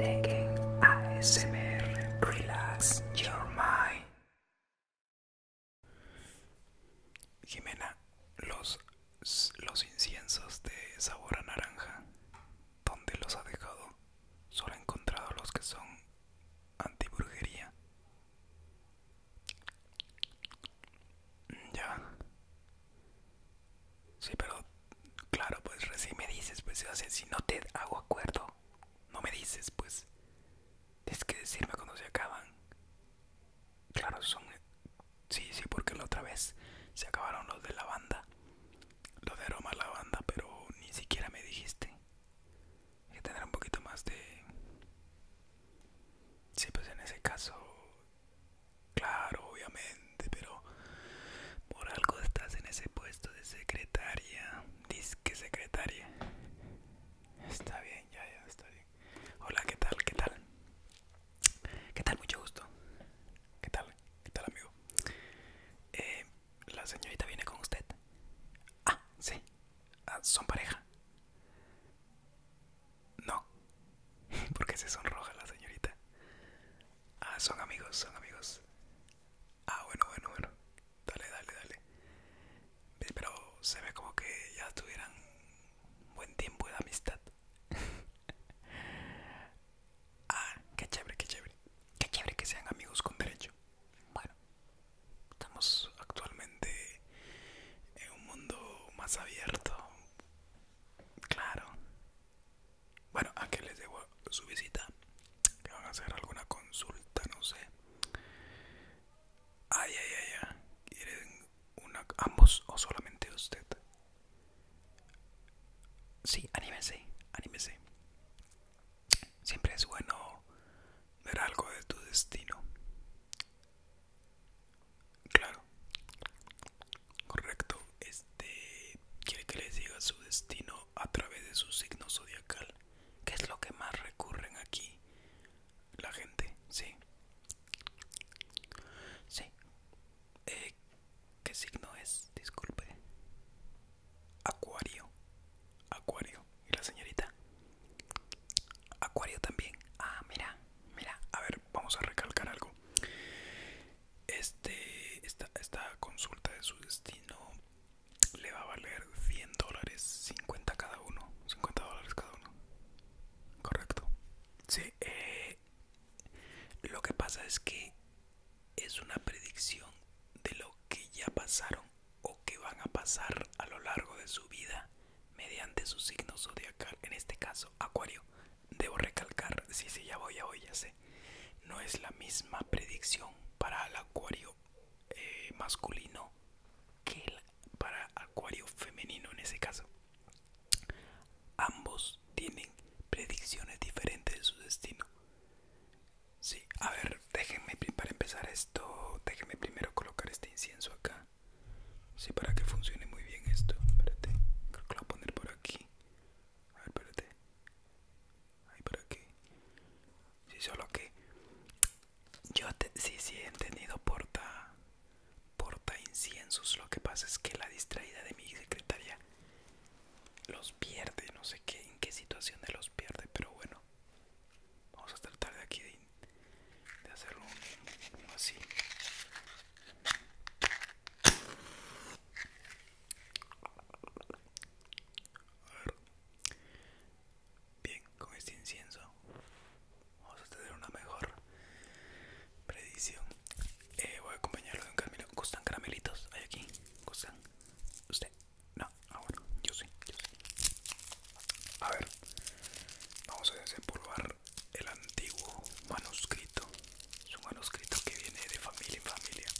ASMR Relax Your Mind. Jimena, los, los inciensos de sabor a naranja, ¿dónde los ha dejado? Solo he encontrado los que son antibrujería. Ya. Sí, pero claro, pues recién me dices, pues si no te hago acuerdo, no me dices, pues tienes que decirme cuando se acaban. Claro, son... Sí, sí, porque la otra vez se acabaron los de la banda, Los de la banda, pero ni siquiera me dijiste. que tener un poquito más de... Sí, pues en ese caso Claro, obviamente, pero por algo estás en ese puesto de secretaria. que secretaria. Está bien, ya, ya, está bien. Hola, ¿qué tal? ¿Qué tal? ¿Qué tal? Mucho gusto. ¿Qué tal? ¿Qué tal, amigo? Eh, ¿La señorita viene con usted? Ah, sí. Ah, ¿Son pareja? No. porque se sonroja la señorita? Ah, son amigos, son amigos. Ah, bueno, bueno, bueno. Dale, dale, dale. Pero se ve como que ya tuvieran buen tiempo de amistad. ah, qué chévere, qué chévere. Qué chévere que sean amigos con derecho. Bueno, estamos actualmente en un mundo más abierto. Claro, bueno, a qué les debo su visita. Que van a hacer alguna consulta, no sé. Ay, ay, ay, ay. ¿Quieren una, ambos o solamente usted? Sí, anímese, anímese. Siempre es bueno ver algo de tu destino. Claro. Correcto. Este quiere que les diga su destino a través de su signo zodiacal. que es lo que más recurren aquí? La gente, sí. Sí. Eh, ¿Qué signo es? Disculpe. Acuario. Acuario. ¿Y la señorita? Acuario también. Ah, mira. Mira, a ver, vamos a recalcar algo. Este, esta, esta consulta de su destino le va a valer 100 dólares, 50 cada uno, 50 dólares cada uno. Correcto. Sí, eh, lo que pasa es que es una predicción de lo que ya pasaron o que van a pasar a lo largo de su vida mediante su signo zodiacal, en este caso Acuario. Debo recalcar, si se ya voy, a voy, ya sé. No es la misma predicción para el acuario eh, masculino que el, para acuario femenino en ese caso. Ambos tienen predicciones diferentes de su destino. Sí, a ver, déjenme para empezar esto, déjenme primero colocar este incienso acá sí, para que funcione muy bien esto espérate creo que lo voy a poner por aquí a ver espérate ahí por aquí sí solo que yo te, sí sí he tenido porta porta inciensos lo que pasa es que la distraída de mi secretaria los pierde no sé qué en qué situación de los pierde pero bueno vamos a tratar de aquí de, de hacerlo así a ver. Bien, con este incienso vamos a tener una mejor predicción. Eh, voy a acompañarlo de un caramelo. ¿Gustan caramelitos? ¿Hay aquí? ¿Gustan? ¿Usted? No, ah bueno, yo sí, yo sí. A ver, vamos a desempolvar el antiguo manuscrito. Es un manuscrito que viene de familia en familia.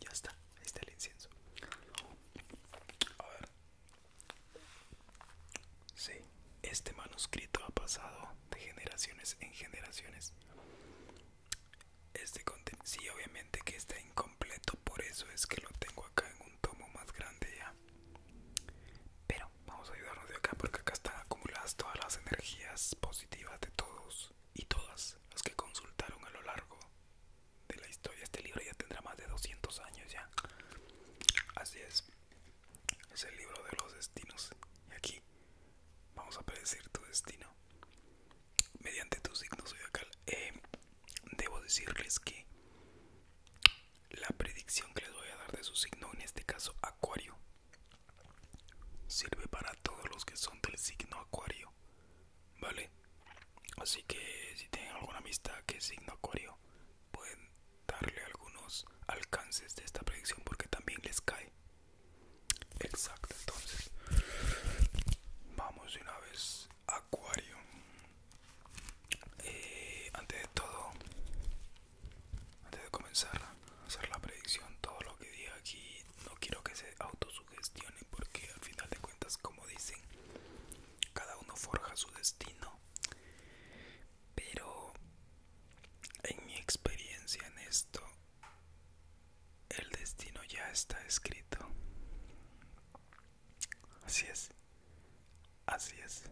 Ya está, ahí el incienso. A ver. Sí, este manuscrito ha pasado de generaciones en generaciones. Este contiene sí, obviamente que está incompleto, por eso es que lo tengo acá en un tomo más grande ya pero vamos a ayudarnos de acá porque acá están acumuladas todas las energías positivas de todos y todas las que consultaron a lo largo de la historia este libro ya tendrá más de 200 años ya así es es el libro de los destinos y aquí vamos a predecir tu destino mediante tus signos acá. Eh, debo decirles que la predicción que les voy a dar de su signo, en este caso Acuario, sirve para todos los que son del signo Acuario, ¿vale? Así que si tienen alguna amistad que es signo Acuario, pueden darle algunos alcances de esta predicción porque también les cae. Exacto, entonces vamos de una vez Acuario. Eh, antes de todo antes de comenzar a hacer la predicción todo lo que diga aquí no quiero que se autosugestione porque al final de cuentas como dicen cada uno forja su destino pero en mi experiencia en esto el destino ya está escrito Así es. Así es.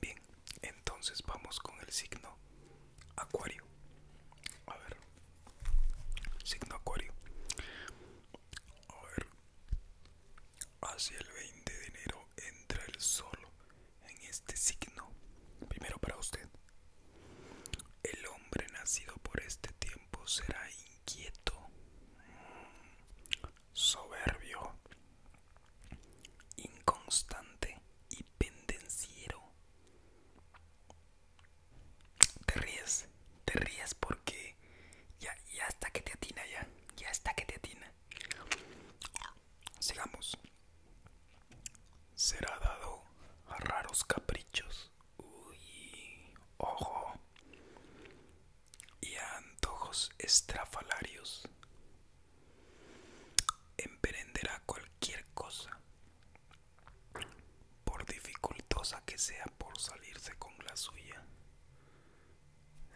Bien, entonces vamos con el signo Acuario. A ver. Signo Acuario. A ver. Hacia el 20 de enero entra el sol en este signo. Primero para usted. El hombre nacido por este tiempo será inquieto, soberbio, inconstante y pendenciero. Te ríes, te ríes porque ya, ya está que te atina, ya, ya está que te atina. Sigamos. Será dado a raros caprichos uy, ojo y antojos estrafalarios. Emprenderá cualquier cosa, por dificultosa que sea, por salirse con la suya.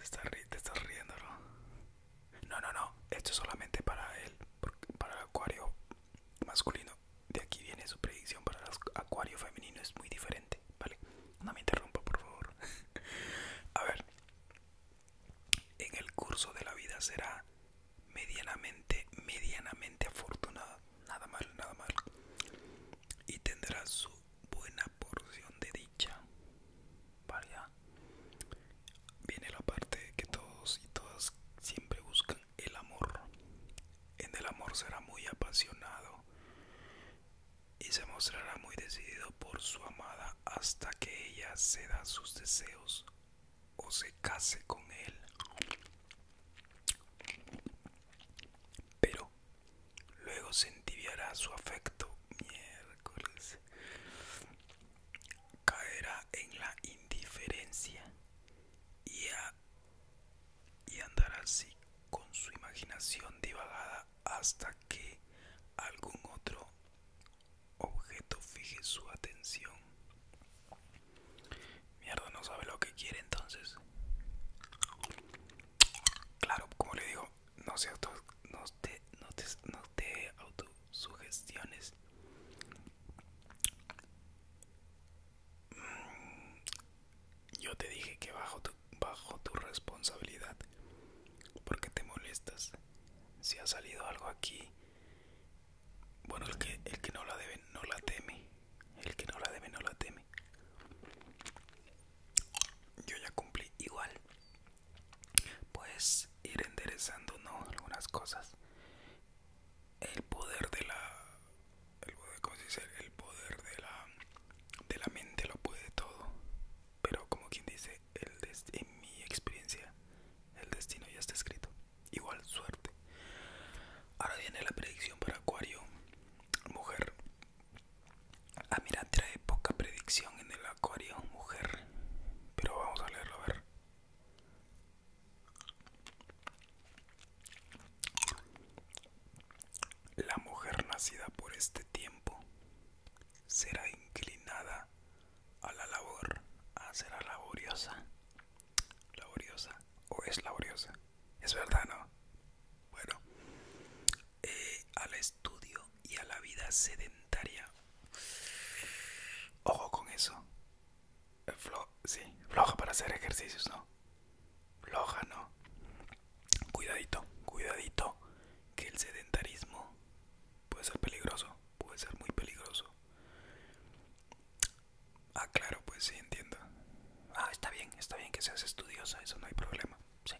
Está, te estás riendo, ¿no? No, no, no, esto es solamente para él, para el acuario masculino de aquí viene su predicción para el Acuario femenino, es muy diferente, ¿vale? No me interrumpa, por favor. A ver, en el curso de la vida será medianamente, medianamente afortunada, nada mal, nada mal, y tendrá su buena porción de dicha, ¿vale? Viene la parte que todos y todas siempre buscan el amor. En el amor será muy apasionado y se mostrará muy decidido por su amada hasta que ella ceda sus deseos o se case con él. Pero luego se entibiará su afecto. Miércoles. Caerá en la indiferencia y, a, y andar así con su imaginación divagada hasta que algún otro objeto fije su atención. Mierda, no sabe lo que quiere entonces. Claro, como le digo, no, se no, te, no, te, no te autosugestiones. Yo te dije que bajo tu, bajo tu responsabilidad. Porque te molestas. Si ha salido algo aquí. Bueno, el que, el que no la debe no la teme. El que no la debe no la teme. Yo ya cumplí igual. Puedes ir enderezando algunas cosas el poder de la el, poder de la de la mente lo puede todo pero como quien dice el en mi experiencia el destino ya está escrito igual suerte ahora viene la predicción para acuario mujer ah mira trae poca predicción en el acuario mujer pero vamos a leerlo a ver la mujer nacida por este tiempo será inclinada a la labor, a ah, será laboriosa, laboriosa o es laboriosa, es verdad, ¿no? Bueno, eh, al estudio y a la vida sedentaria. Ojo con eso. Flo sí, floja para hacer ejercicios, ¿no? Floja, ¿no? Cuidadito, cuidadito, que el sedentarismo puede ser peligroso, puede ser muy peligroso. Ah, claro, pues sí, entiendo. Ah, está bien, está bien que seas estudiosa, eso no hay problema. Sí,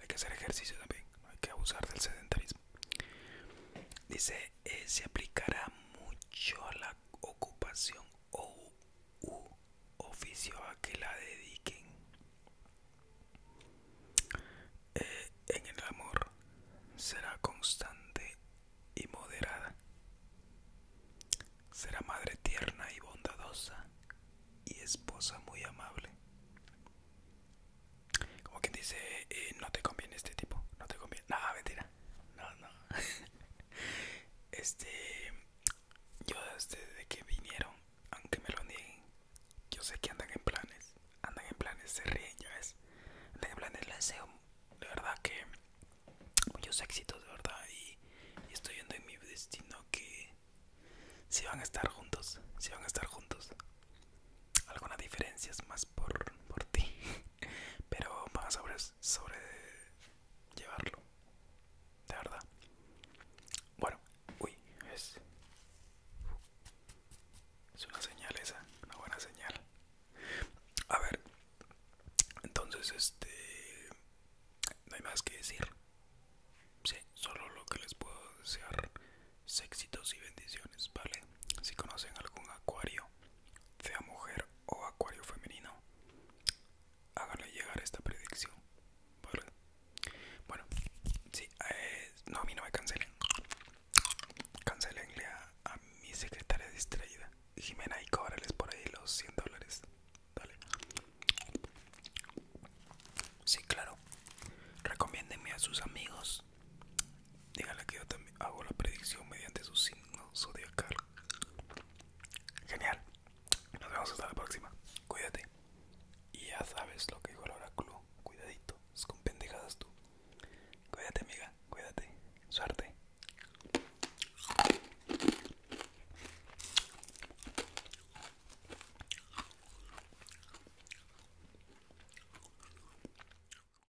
hay que hacer ejercicio también, no hay que abusar del sedentarismo. Dice eh, se aplicará mucho a la ocupación o oficio a que la dediquen eh, en el amor será constante y moderada será madre tierna y bondadosa y esposa muy amable como quien dice eh, no te conviene este tipo no te conviene nada mentira no, no. Este. Yo desde que vinieron, aunque me lo nieguen, yo sé que andan en planes. Andan en planes, se ríen, ya ves. Andan en planes, les deseo de verdad que muchos éxitos, de verdad. Y, estoy viendo en mi destino que si van a estar juntos, si van a estar juntos. Algunas diferencias más por, por ti, pero vamos a, eso pues, sobre llevarlo. De verdad. Bueno, uy, es. una señal esa, una buena señal. A ver, entonces este. No hay más que decir. Sí, solo lo que les puedo desear. Éxitos y bendiciones, ¿vale? Si conocen algún acuario sea mujer o acuario femenino, háganle llegar esta predicción. Bueno, sí, eh, no, a mí no me cancelen. Cancelenle a, mi secretaria distraída, Jimena, y cóbrales por ahí los 100 dólares. Dale. Sí, claro. Recomiéndenme a sus amigos Dígale que yo también hago la predicción mediante su signo zodiacal. Genial. Nos vemos hasta la próxima. Cuídate. Y ya sabes lo que dijo el oráculo. Cuidadito. Es con pendejadas tú. Cuídate, amiga. Cuídate. Suerte.